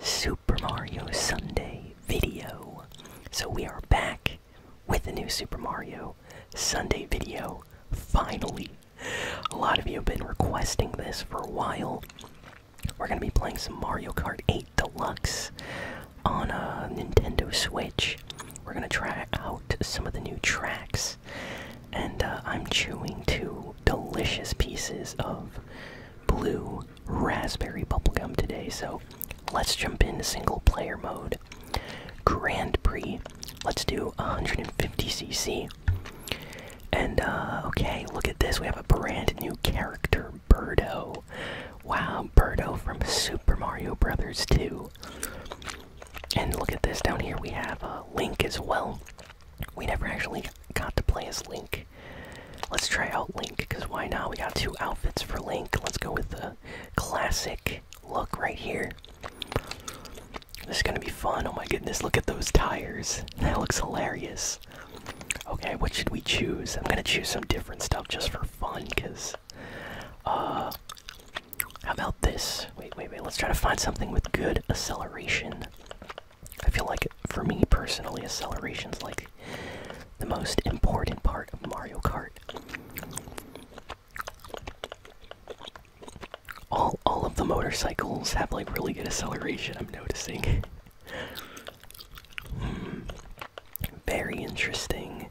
Super Mario Sunday video. So we are back with a new Super Mario Sunday video, finally. A lot of you have been requesting this for a while. We're going to be playing some Mario Kart 8 Deluxe on a uh, Nintendo Switch. We're going to try out some of the new tracks. And uh, I'm chewing two delicious pieces of blue raspberry bubblegum today, so let's jump into single player mode. Grand Prix. Let's do 150cc. And, uh, okay, look at this. We have a brand new character, Birdo. Wow, Birdo from Super Mario Brothers 2. And look at this. Down here we have a uh, Link as well. We never actually got to play as Link Let's try out Link, because why not? We got two outfits for Link. Let's go with the classic look right here. This is gonna be fun. Oh my goodness, look at those tires. That looks hilarious. Okay, what should we choose? I'm gonna choose some different stuff just for fun, because. Uh. How about this? Wait, wait, wait. Let's try to find something with good acceleration. I feel like, for me personally, acceleration's like the most important part of Mario Kart. All all of the motorcycles have like really good acceleration. I'm noticing. Hmm. Very interesting.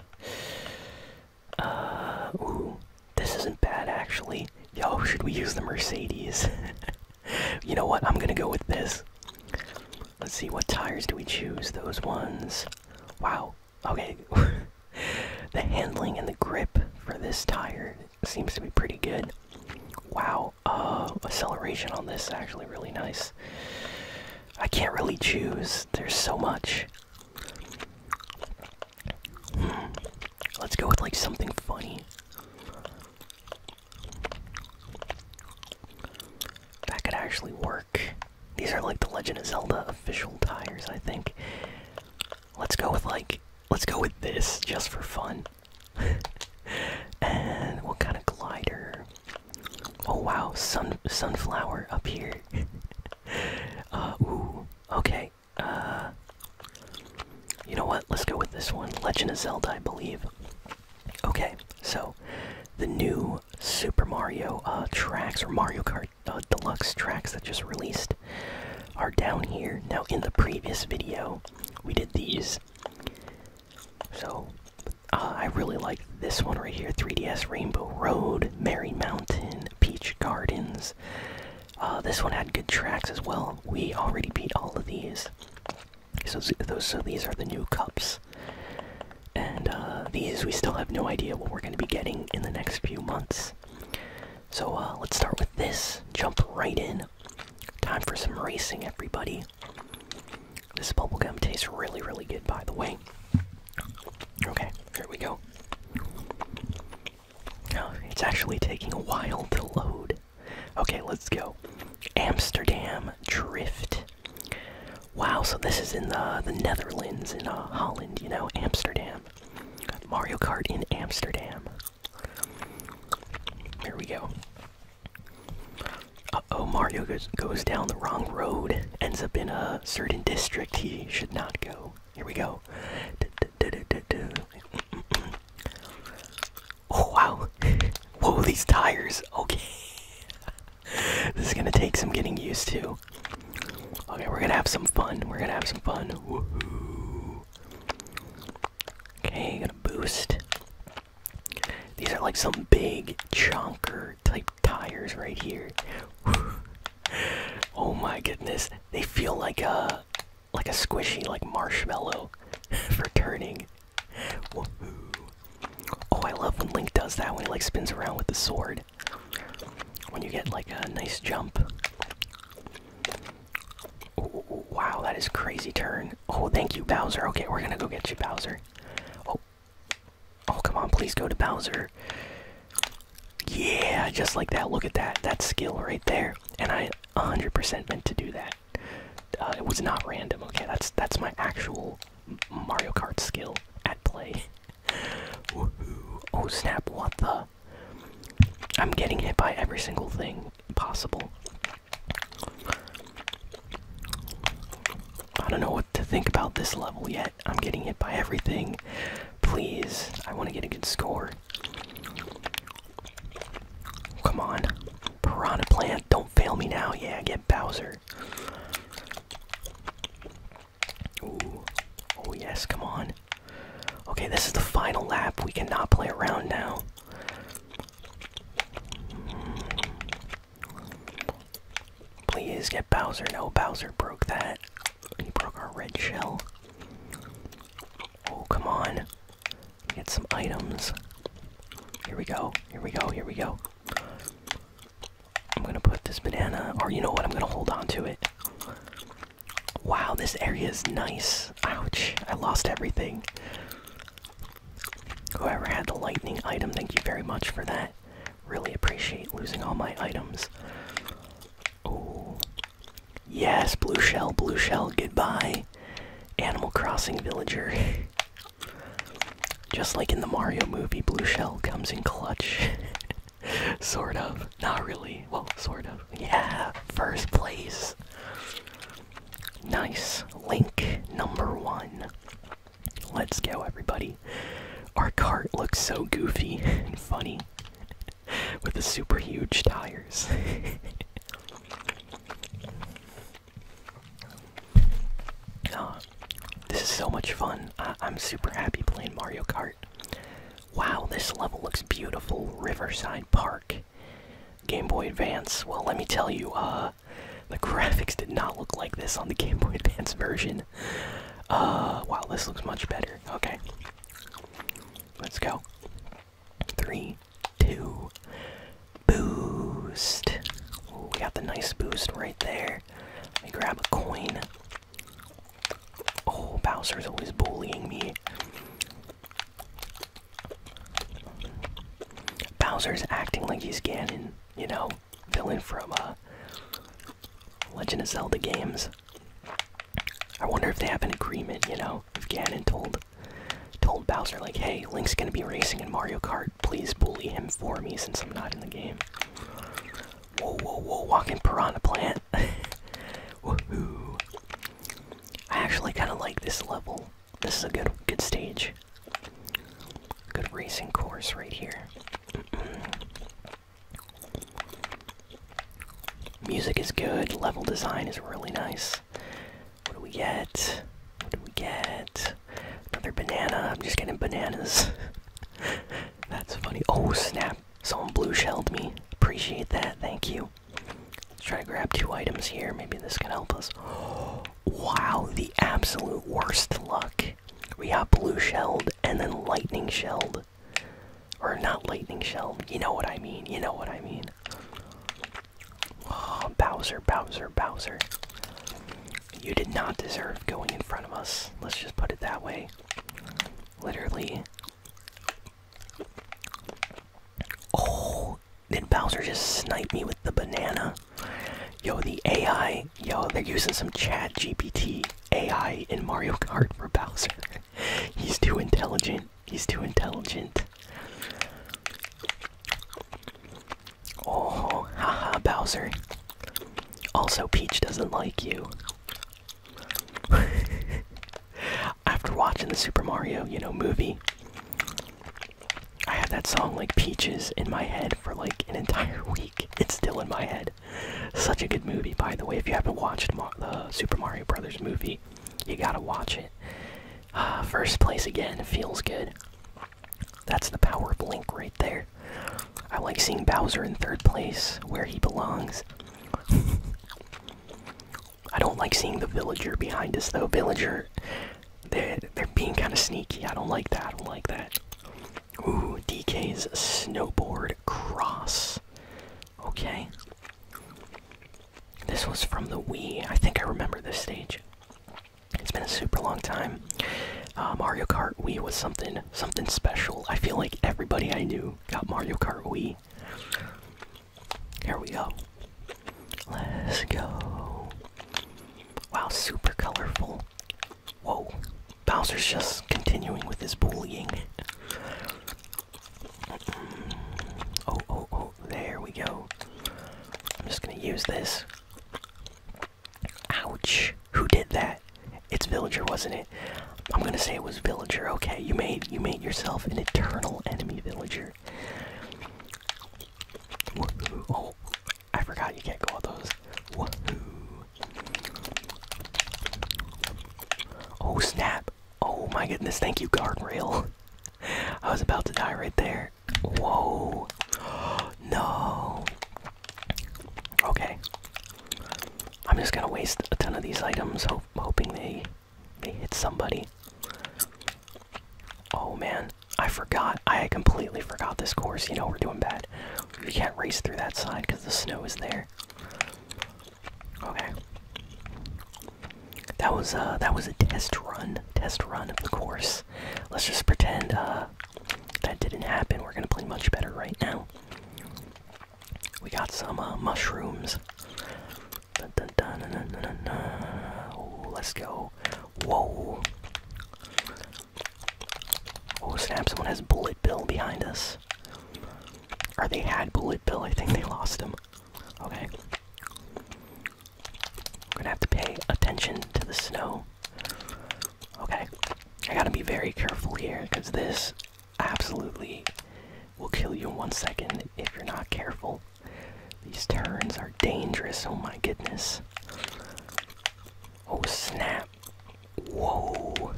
Uh, ooh, this isn't bad actually. Yo, should we use the Mercedes? you know what? I'm gonna go with this. Let's see, what tires do we choose? Those ones. Wow. Okay. the handling and the grip for this tire seems to be pretty good. Wow. Uh, acceleration on this actually really nice. I can't really choose. There's so much. Hmm, let's go with like something funny. That could actually work. These are like the Legend of Zelda official tires, I think. Let's go with like let's go with this just for fun. and what kind of glider? Oh wow, sun sunflower up here. Uh, ooh. Okay. Uh you know what? Let's go with this one. Legend of Zelda, I believe. Okay, so the new Super Mario uh, tracks or Mario Kart uh, Deluxe tracks that just released are down here. Now, in the previous video, we did these. So, uh, I really like this one right here 3DS Rainbow Road, Merry Mountain, Peach Gardens. this one had good tracks as well. We already beat all of these. So, so these are the new cups. And uh, these, we still have no idea what we're going to be getting in the next few months. So uh, let's start with this. Jump right in. Time for some racing, everybody. This bubblegum tastes really, really good, by the way. Okay, here we go. Oh, it's actually taking a while to load. Okay, let's go. Amsterdam Drift. Wow, so this is in the the Netherlands, in uh, Holland, you know, Amsterdam. Mario Kart in Amsterdam. Here we go. Uh oh, Mario goes goes down the wrong road. Ends up in a certain district he should not go. Here we go. wow. Whoa, these tires. Okay. this is gonna take some getting used to. Okay, we're gonna have some fun. We're gonna have some fun. Woohoo. Okay, gonna boost. These are like some big chunker type tires right here. oh my goodness. They feel like a like a squishy like marshmallow for turning. Oh, I love when Link does that when he like spins around with the sword. When you get like a nice jump. Ooh, wow, that is crazy turn. Oh, thank you, Bowser. Okay, we're gonna go get you, Bowser. Oh, oh, come on, please go to Bowser. Yeah, just like that. Look at that. That skill right there. And I 100% meant to do that. Uh, it was not random. Okay, that's that's my actual Mario Kart skill at play. Oh snap, what the? I'm getting hit by every single thing possible. I don't know what to think about this level yet. I'm getting hit by everything. Please, I want to get a good score. Come on. Piranha Plant, don't fail me now. Yeah, get Bowser here. Oh, yes, come on. Okay, this is the final lap. We cannot play around now. Please get Bowser. No, Bowser broke that. He broke our red shell. Oh, come on. Get some items. Here we go. Here we go. Here we go. I'm gonna put this banana, or you know what? I'm gonna hold on to it. Wow, this area is nice. Ouch, I lost everything. Whoever had the lightning item, thank you very much for that. Really appreciate losing all my items. Oh, yes, blue shell, blue shell, goodbye. Animal Crossing villager. Just like in the Mario movie, Blue Shell comes in clutch. sort of. Not really. Well, sort of. Yeah, first place. Nice. Link number one. Let's go, everybody. Our cart looks so goofy and funny with the super huge tires. Uh, this is so much fun. I I'm super happy playing Mario Kart. Wow, this level looks beautiful. Riverside Park. Game Boy Advance. Well, let me tell you, uh, the graphics did not look like this on the Game Boy Advance version. Uh, wow, this looks much better. Okay. Let's go. Three, two, boost. we got the nice boost right there. Let me grab a coin. Oh, Bowser's always bullying me. Bowser's acting like he's Ganon, you know, villain from uh, Legend of Zelda games. I wonder if they have an agreement, you know, if Ganon told told Bowser like, "Hey, Link's gonna be racing in Mario Kart." please bully him for me since I'm not in the game. Whoa, whoa, whoa, walking piranha plant. Woohoo. I actually kind of like this level. This is a good good stage. Good racing course right here. Mm-hmm. Music is good, level design is really nice. What do we get? What do we get? Another banana. I'm just getting bananas. That's funny. Oh snap! Someone blue shelled me. Appreciate that. Thank you. Let's try to grab two items here. Maybe this can help us. Wow, the absolute worst luck. We got blue shelled and then lightning shelled. Or not lightning shelled. You know what I mean. You know what I mean. Bowser, Bowser, Bowser. You did not deserve going in front of us. Let's just put it that way. Literally. Oh, did Bowser just snipe me with the banana? Yo, the AI. Yo, they're using some Chat GPT AI in Mario Kart for Bowser. He's too intelligent. He's too intelligent. Oh, haha, Bowser. Also, Peach doesn't like you. After watching the Super Mario, you know, movie, I had that song like Peaches in my head for like an entire week. It's still in my head. Such a good movie, by the way. If you haven't watched the Super Mario Brothers movie, you gotta watch it. first place again feels good. That's the power blink right there. I like seeing Bowser in third place, where he belongs. I don't like seeing the villager behind us, though. Villager, they they're being kind of sneaky. I don't like that. I don't like that. Ooh, DK's snowboard cross. Okay. This was from the Wii. I think I remember this stage. It's been a super long time. Uh, Mario Kart Wii was something something special. I feel like everybody I knew got Mario Kart Wii. Here we go. Let's go. Wow, super colorful. Whoa. Bowser's just continuing with his bullying. Oh, oh, oh, there we go. I'm just gonna use this. Ouch! Who did that? It's Villager, wasn't it? I'm gonna say it was Villager. Okay, you made you made yourself an eternal enemy, Villager. Oh, I forgot you can't go with those. Oh snap! Oh my goodness! Thank you, guardrail. I was about to die right there. Whoa. no. Okay. I'm just gonna waste a ton of these items, hoping they they hit somebody. Oh man, I forgot. I completely forgot this course. You know we're doing bad. We can't race through that side because the snow is there. Okay. That was uh that was a test run, test run of the course. Let's just pretend uh that didn't happen. We're gonna play much better right now. We got some uh, mushrooms. let's go. Whoa. Oh snap, someone has Bullet Bill behind us. Are they had Bullet Bill, I think they lost him. Okay. We're gonna have to pay attention to the snow. Okay, I gotta be very careful here because this absolutely will kill you in one second if you're not careful. These turns are dangerous, oh my goodness. Oh snap. Whoa.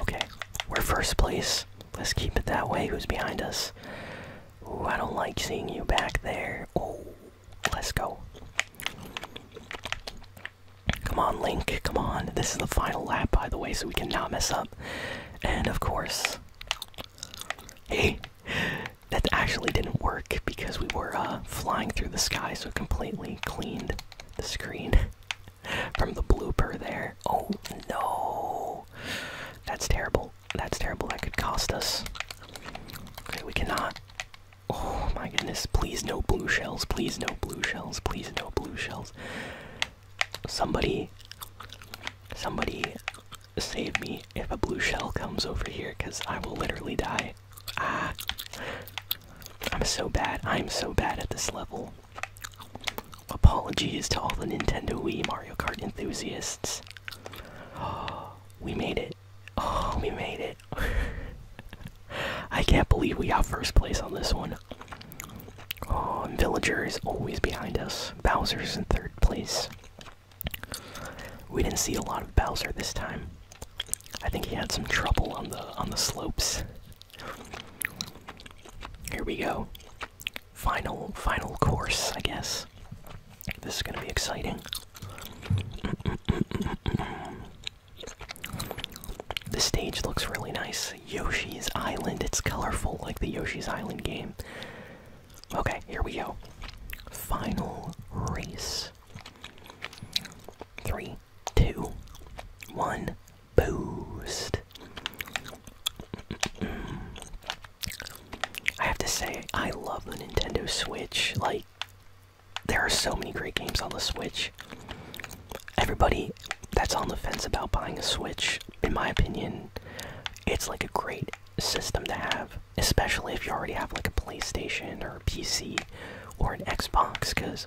Okay, we're first place. Let's keep it that way. Who's behind us? Ooh, I don't like seeing you back there. Oh, Let's go. Come on, Link. Come on. This is the final lap, by the way, so we cannot mess up. And of course. Hey! That actually didn't work because we were uh, flying through the sky, so it completely cleaned the screen from the blooper there. Oh no! That's terrible. That's terrible. That could cost us. Okay, we cannot. Oh my goodness. Please no blue shells. Please no blue shells. Please no blue shells. Somebody. Somebody save me if a blue shell comes over here because I will literally die. Ah. I'm so bad. I'm so bad at this level. Apologies to all the Nintendo Wii Mario Kart enthusiasts. we made it. Oh, we made it. I can't believe we got first place on this one. Oh, and Villager is always behind us. Bowser's in third place. We didn't see a lot of Bowser this time. I think he had some trouble on the on the slopes. Here we go. Final final course, I guess this. is gonna be exciting. The stage looks really nice. Yoshi's Island. It's colorful like the Yoshi's Island game. Okay, here we go. Final race. Three, two, one, boost. I have to say, I love the Nintendo Switch. Like, there are so many great games on the Switch. Everybody that's on the fence about buying a Switch, in my opinion, it's like a great system to have, especially if you already have like a PlayStation or a PC or an Xbox, because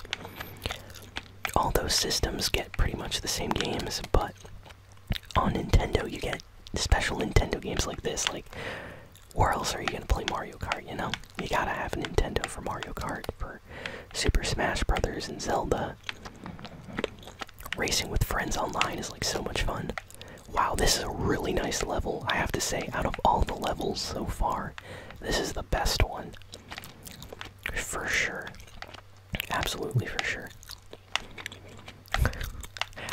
all those systems get pretty much the same games, but on Nintendo, you get special Nintendo games like this. Like, where else are you gonna play Mario Kart? You know, you gotta have a Nintendo for Mario Kart, for Super Smash Brothers and Zelda. Racing with friends online is like so much fun. Wow, this is a really nice level. I have to say, out of all the levels so far, this is the best one. For sure. Absolutely for sure.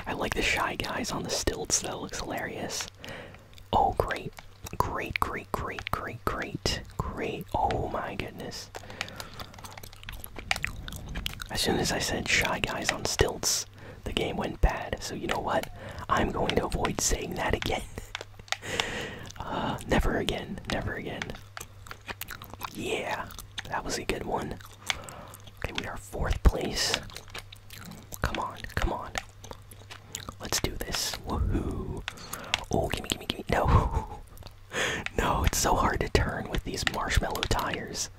I like the shy guys on the stilts though. Looks hilarious. Oh great, great, great, great, great, great, great. Oh my goodness. As soon as I said shy guys on stilts, the game went bad. So you know what? I'm going to avoid saying that again. Uh, never again. Never again. Yeah, that was a good one. Okay, we are fourth place. Come on, come on. Let's do this. Woohoo. Oh, gimme, gimme, gimme. No. no, it's so hard to turn with these marshmallow tires.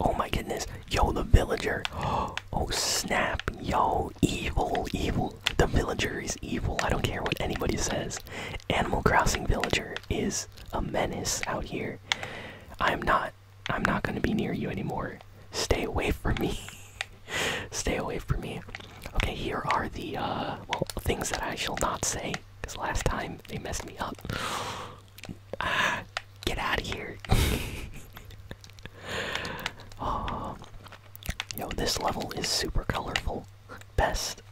Oh my goodness. Yo, the villager. Oh, snap. Yo, evil, evil. The villager is evil. I don't care what anybody says. Animal Crossing Villager is a menace out here. I am not I'm not gonna be near you anymore. Stay away from me. Stay away from me. Okay, here are the uh, things that I shall not say, because last time they messed me up. get out of here. oh, yo, this level is super colorful. Best.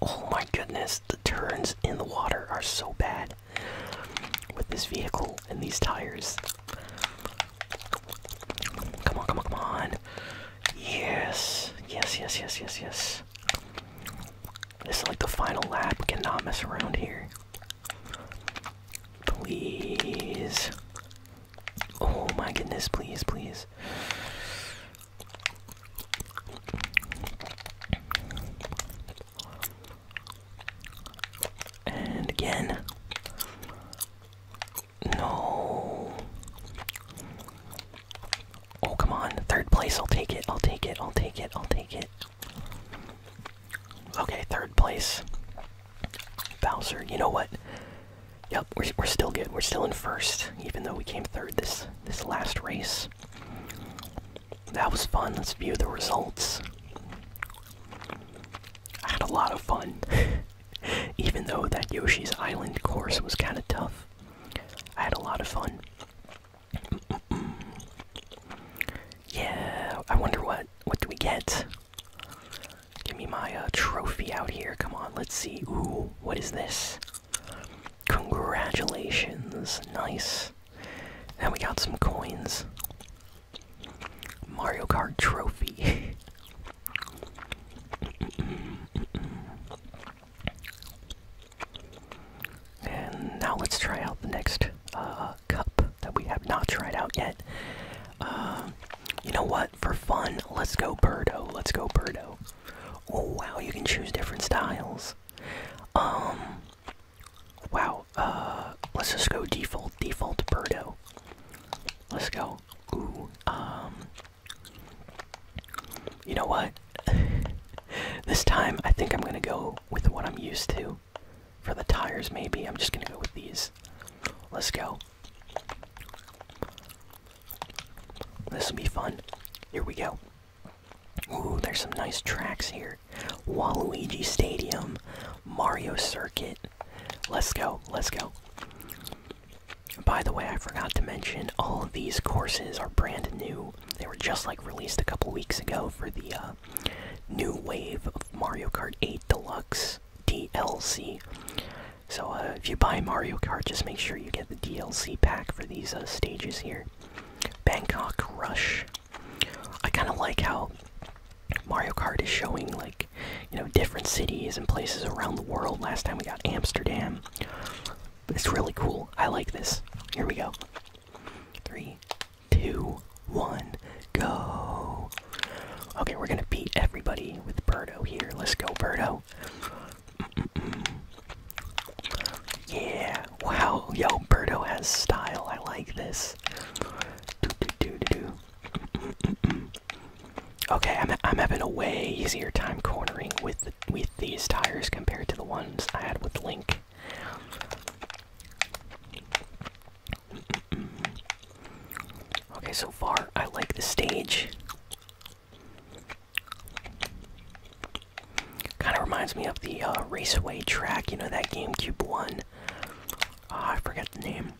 Oh my goodness, the turns in the water are so bad with this vehicle and these tires. Come on, come on, come on. Yes, yes, yes, yes, yes, yes. This is like the final lap. We cannot mess around here. Please. Oh my goodness, please, please. And again. No. Oh, come on. Third place. I'll take it. I'll take it. I'll take it. I'll take it. Okay, third place. Bowser. You know what? Yep, we're, we're still good. We're still in first, even though we came third this this last race. That was fun. Let's view the results. I had a lot of fun. Even though that Yoshi's Island course was kind of tough, I had a lot of fun. Yeah, I wonder what what do we get? Give me my uh, trophy out here. Come on, let's see. Ooh, what is this? Congratulations, nice. And we got some coins. Mario Kart trophy. and now let's try out the next uh, cup that we have not tried out yet. Uh, you know what? For fun, let's go Birdo. Let's go Birdo. Oh wow, you can choose different styles. Um, Wow. Uh, let's just go default, default Birdo. Let's go. Ooh. Um. You know what? this time, I think I'm gonna go with what I'm used to. For the tires, maybe I'm just gonna go with these. Let's go. This will be fun. Here we go. Ooh, there's some nice tracks here. Waluigi Stadium, Mario Circuit. Let's go, let's go. By the way, I forgot to mention all of these courses are brand new. They were just like released a couple weeks ago for the uh, new wave of Mario Kart 8 Deluxe DLC. So uh, if you buy Mario Kart, just make sure you get the DLC pack for these uh, stages here. Bangkok Rush, I kind of like how Mario Kart is showing like you know different cities and places around the world. Last time we got Amsterdam. It's really cool. I like this. Here we go. Three, two, one, go. Okay, we're gonna beat everybody with Birdo here. Let's go, Birdo. Mm Yeah. Wow. Yo, Birdo has style. I like this. Okay, I'm I'm having a way easier time cornering with with these tires compared to the ones I had with Link. Okay, so far I like the stage. Kind of reminds me of the uh, Raceway track, you know, that GameCube one. Oh, I forget the name.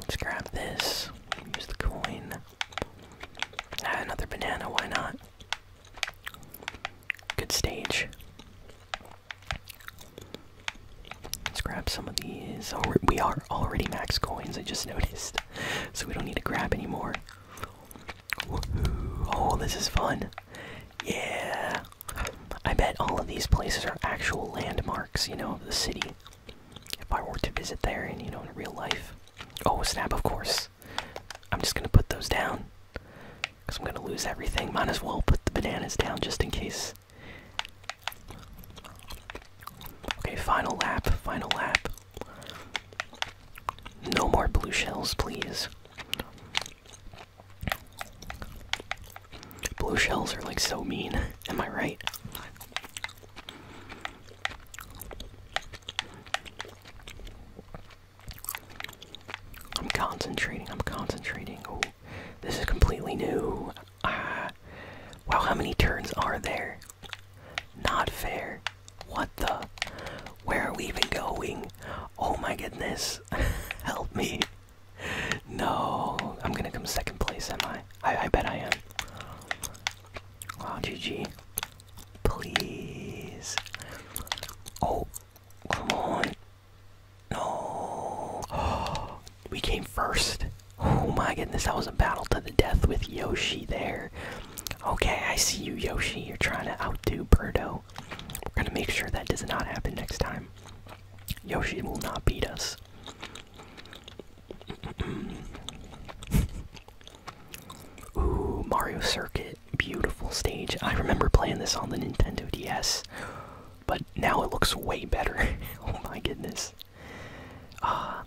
Let's grab this. Use the coin. Ah, another banana, why not? Good stage. Let's grab some of these. Oh, we are already max coins, I just noticed. So we don't need to grab anymore. Oh, this is fun. Yeah. I bet all of these places are actual landmarks, you know, of the city. If I were to visit there and, you know, in real life. Oh, snap, of course. I'm just gonna put those down. Because I'm gonna lose everything. Might as well put the bananas down just in case. Okay, final lap, final lap. No more blue shells, please. Blue shells are like so mean. Am I right? I'm concentrating. I'm concentrating. Oh, this is completely new. Ah. Wow, how many turns are there? Not fair. What the? Where are we even going? Oh my goodness. Help me. No. I'm gonna come second place, am I? I, bet I am. Oh, GG. Please. Oh, come on. No. we came first. Oh my goodness, that was a battle to the death with Yoshi there. Okay, I see you, Yoshi. You're trying to outdo Birdo we're gonna make sure that does not happen next time. Yoshi will not beat us. Ooh, Mario Circuit. Beautiful stage. I remember playing this on the Nintendo DS, but now it looks way better. oh my goodness. Uh,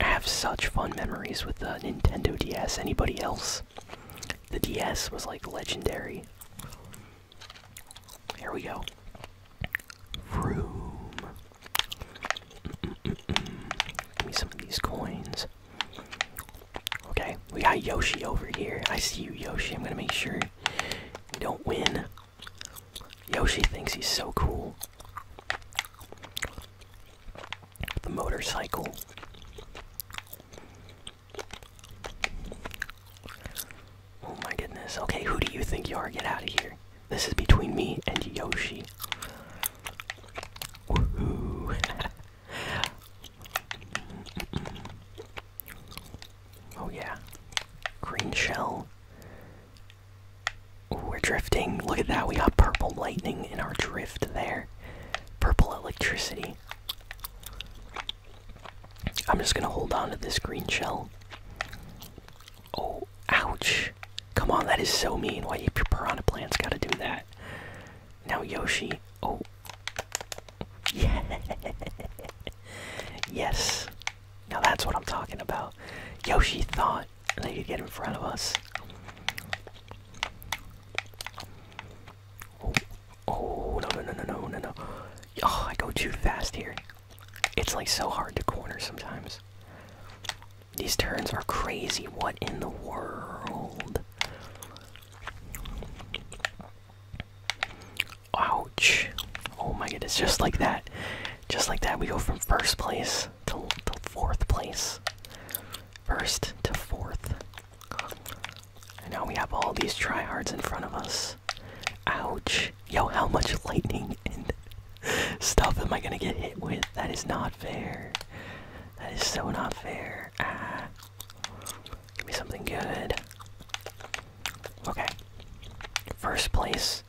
I have such fun memories with the Nintendo DS. Anybody else? The DS was like legendary. Here we go. Room. Give me some of these coins. Okay, we got Yoshi over here. I see you, Yoshi. I'm gonna make sure you don't win. Yoshi thinks he's so cool. The motorcycle. Oh my goodness. Okay, who do you think you are? Get out of here. This is between me and Yoshi. oh yeah. Green shell. we're drifting. Look at that. We got purple lightning in our drift there. Purple electricity. I'm just gonna hold on to this green shell. Oh, ouch! Come on, that is so mean. Why your piranha plants gotta do that? Now Yoshi. Oh, yeah. yes. Now that's what I'm talking about. Yoshi thought they could get in front of us. Oh, oh, no, no, no, no, no, no, Oh, I go too fast here. It's like so hard to corner sometimes. These turns are crazy. What in the world? Ouch. Oh my goodness, just like that. Just like that, we go from first place to fourth place. First to fourth. And now we have all these tryhards in front of us. Ouch. Yo, how much lightning and stuff am I gonna get hit with? That is not fair. That is so not fair. Ah. Give me something good. Okay. First place.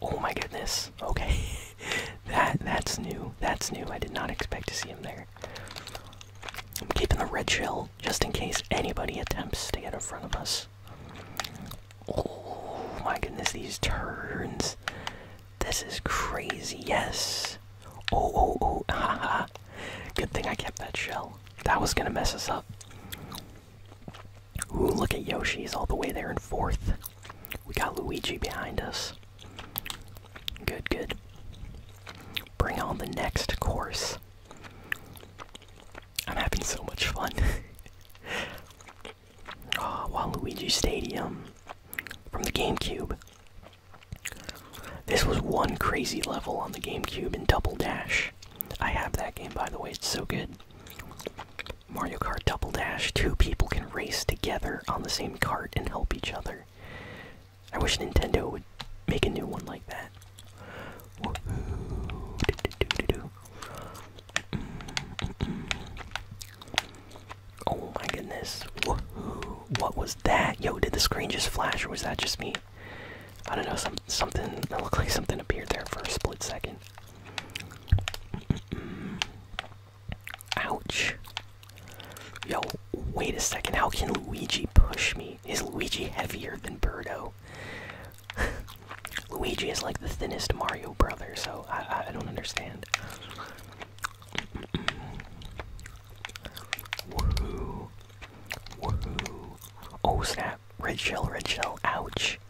Oh my goodness. Okay. that that's new. That's new. I did not expect to see him there. I'm keeping the red shell just in case anybody attempts to get in front of us. Oh my goodness, these turns. This is crazy. Yes. Oh, oh, oh. Haha. Good thing I kept that shell. That was going to mess us up. Ooh, look at Yoshi's all the way there in fourth. We got Luigi behind us. Good, good. Bring on the next course. I'm having so much fun. oh, Waluigi Stadium from the GameCube. This was one crazy level on the GameCube in Double Dash. I have that game, by the way, it's so good. Mario Kart Double Dash. Two people can race together on the same cart and help each other. I wish Nintendo would make a new one like that. Oh my goodness. What was that? Yo, did the screen just flash or was that just me? I don't know, some something it looked like something appeared there for a split second. Ouch. Yo, wait a second. How can Luigi push me? Is Luigi heavier than Birdo? Luigi is like the thinnest Mario brother, so I, don't understand. Oh snap. Red shell, red shell. Ouch.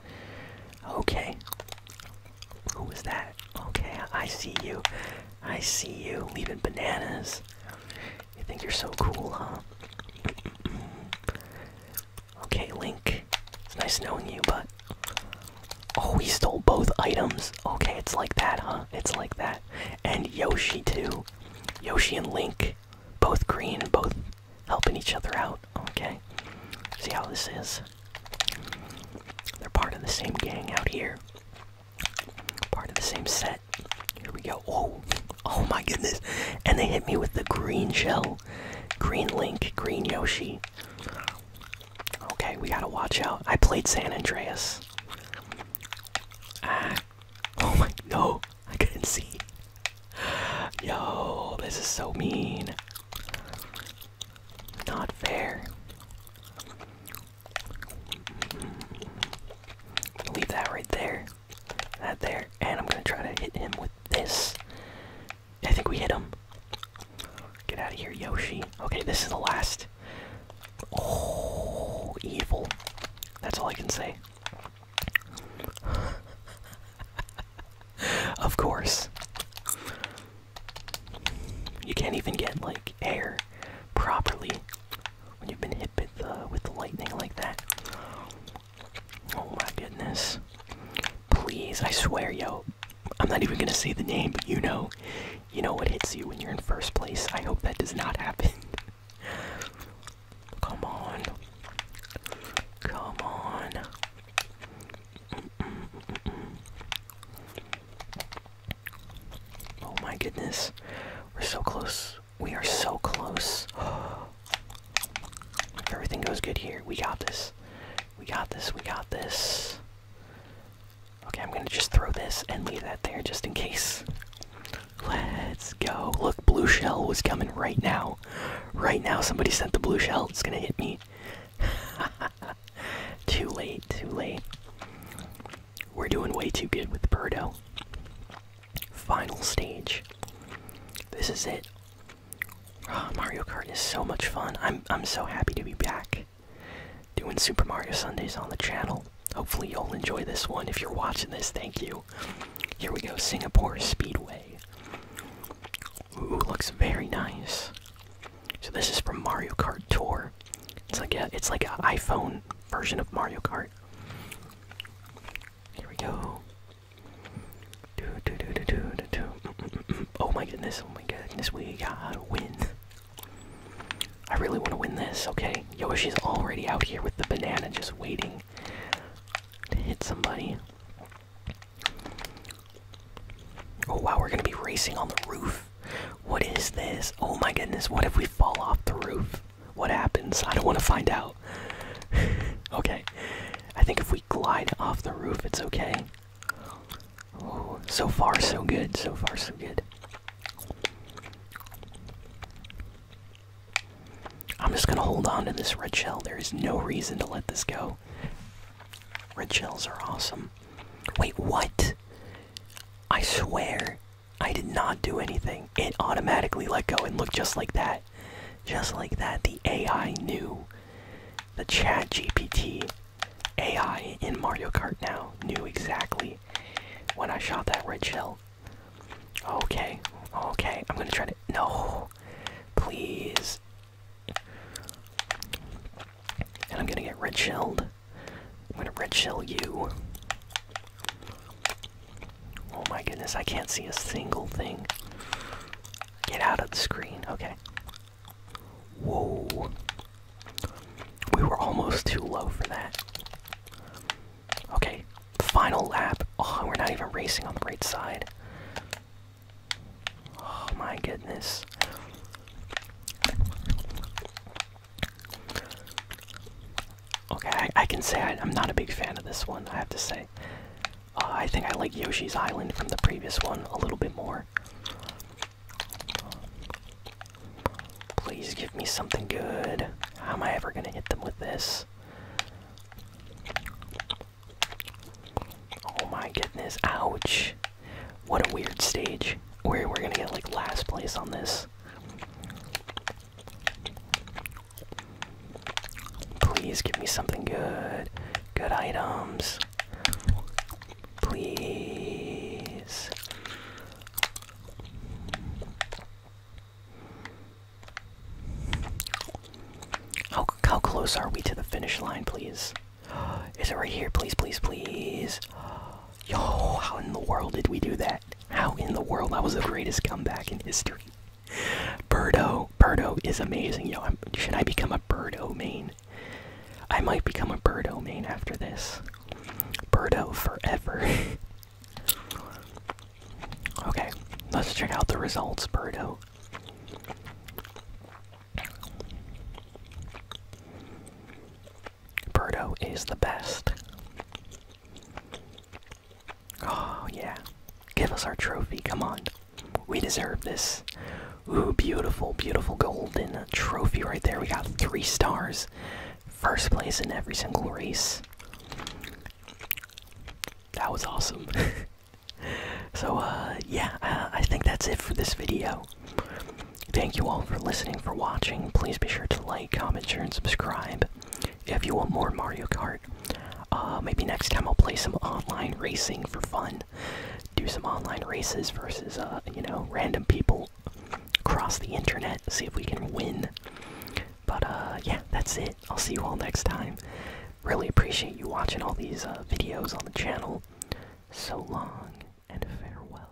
Okay. Who is that? Okay, I see you. I see you. Leaving bananas. You think you're so cool, huh? okay, Link. It's nice knowing you, but. Oh, we stole both items. Okay, it's like that, huh? It's like that. And Yoshi, too. Yoshi and Link. Both green, both helping each other out. Okay. See how this is? They're part of the same gang out here. Part of the same set. Here we go. Oh, oh my goodness. And they hit me with the green shell. Green Link, Green Yoshi. Okay, we gotta watch out. I played San Andreas. Ah. Oh my. No, I couldn't see. Yo, this is so mean. Not fair. Leave that right there. That there. And I'm gonna try to hit him with this. I think we hit him. Get out of here, Yoshi. Okay, this is the last. Oh, evil. That's all I can say. of course. You can't even get, like, air properly when you've been hit. Uh, with the lightning like that. Oh my goodness! Please, I swear, yo, I'm not even gonna say the name, but you know, you know what hits you when you're in first place. I hope that does not happen. Come on, come on. Oh my goodness. We're so close. We are so close. if everything goes good here, we got this. We got this. We got this. Okay, I'm gonna just throw this and leave that there just in case. Let's go. Look, blue shell was coming right now. Right now, somebody sent the blue shell. It's gonna hit me. too late, too late. We're doing way too good with Birdo. Final stage. This is it. Ah, Mario Kart is so much fun. I'm I'm so happy to be back doing Super Mario Sundays on the channel. Hopefully you'll enjoy this one. If you're watching this, thank you. Here we go, Singapore Speedway. Ooh, looks very nice. So this is from Mario Kart Tour. It's like a it's like an iPhone version of Mario Kart. Here we go. do, do, do, do, do, do. oh my goodness, oh my goodness, we gotta win. I really want to win this, okay? Yoshi's already out here with the banana just waiting to hit somebody. Oh wow, we're gonna be racing on the roof. What is this? Oh my goodness, what if we fall off the roof? What happens? I don't want to find out. okay. I think if we glide off the roof, it's okay. so far, so good. So far, so good. I'm just gonna hold on to this red shell. There is no reason to let this go. Red shells are awesome. Wait, what? I swear, I did not do anything. It automatically let go and looked just like that. Just like that, the AI knew. The Chat GPT AI in Mario Kart now knew exactly when I shot that red shell. Okay, okay, I'm gonna try to. No, please. And I'm gonna get red shelled. I'm gonna red shell you. Oh my goodness, I can't see a single thing. Get out of the screen, okay. Whoa. We were almost too low for that. Okay, final lap. Oh, we're not even racing on the right side. Oh my goodness. Okay, I, can say I, am not a big fan of this one, I have to say. Uh, I think I like Yoshi's Island from the previous one a little bit more. Please give me something good. am I ever gonna hit them with this? Oh my goodness, ouch. What a weird stage. We're, we're gonna get like last place on this please. give me something good. Good items. Please. How, how close are we to the finish line, please? Is it right here? Please, please, please. Yo, how in the world did we do that? How in the world? That was the greatest comeback in history. Burdo, Burdo is amazing. Yo, i should I become a Burdo main? I might become a Burdo main after this. Burdo forever. okay, let's check out the results, Burdo. Birdo is the best. Oh, yeah. Give us our trophy. Come on. We deserve this. Ooh, beautiful, beautiful golden trophy right there. We got three stars. First place in every single race. That was awesome. so, uh, yeah, uh, I think that's it for this video. Thank you all for listening, for watching. Please be sure to like, comment, share, and subscribe if you want more Mario Kart. Uh, maybe next time I'll play some online racing for fun. Do some online races versus, uh, you know, random people across the internet. See if we can win. But uh, yeah, that's it. I'll see you all next time. Really appreciate you watching all these videos on the channel. So long and farewell.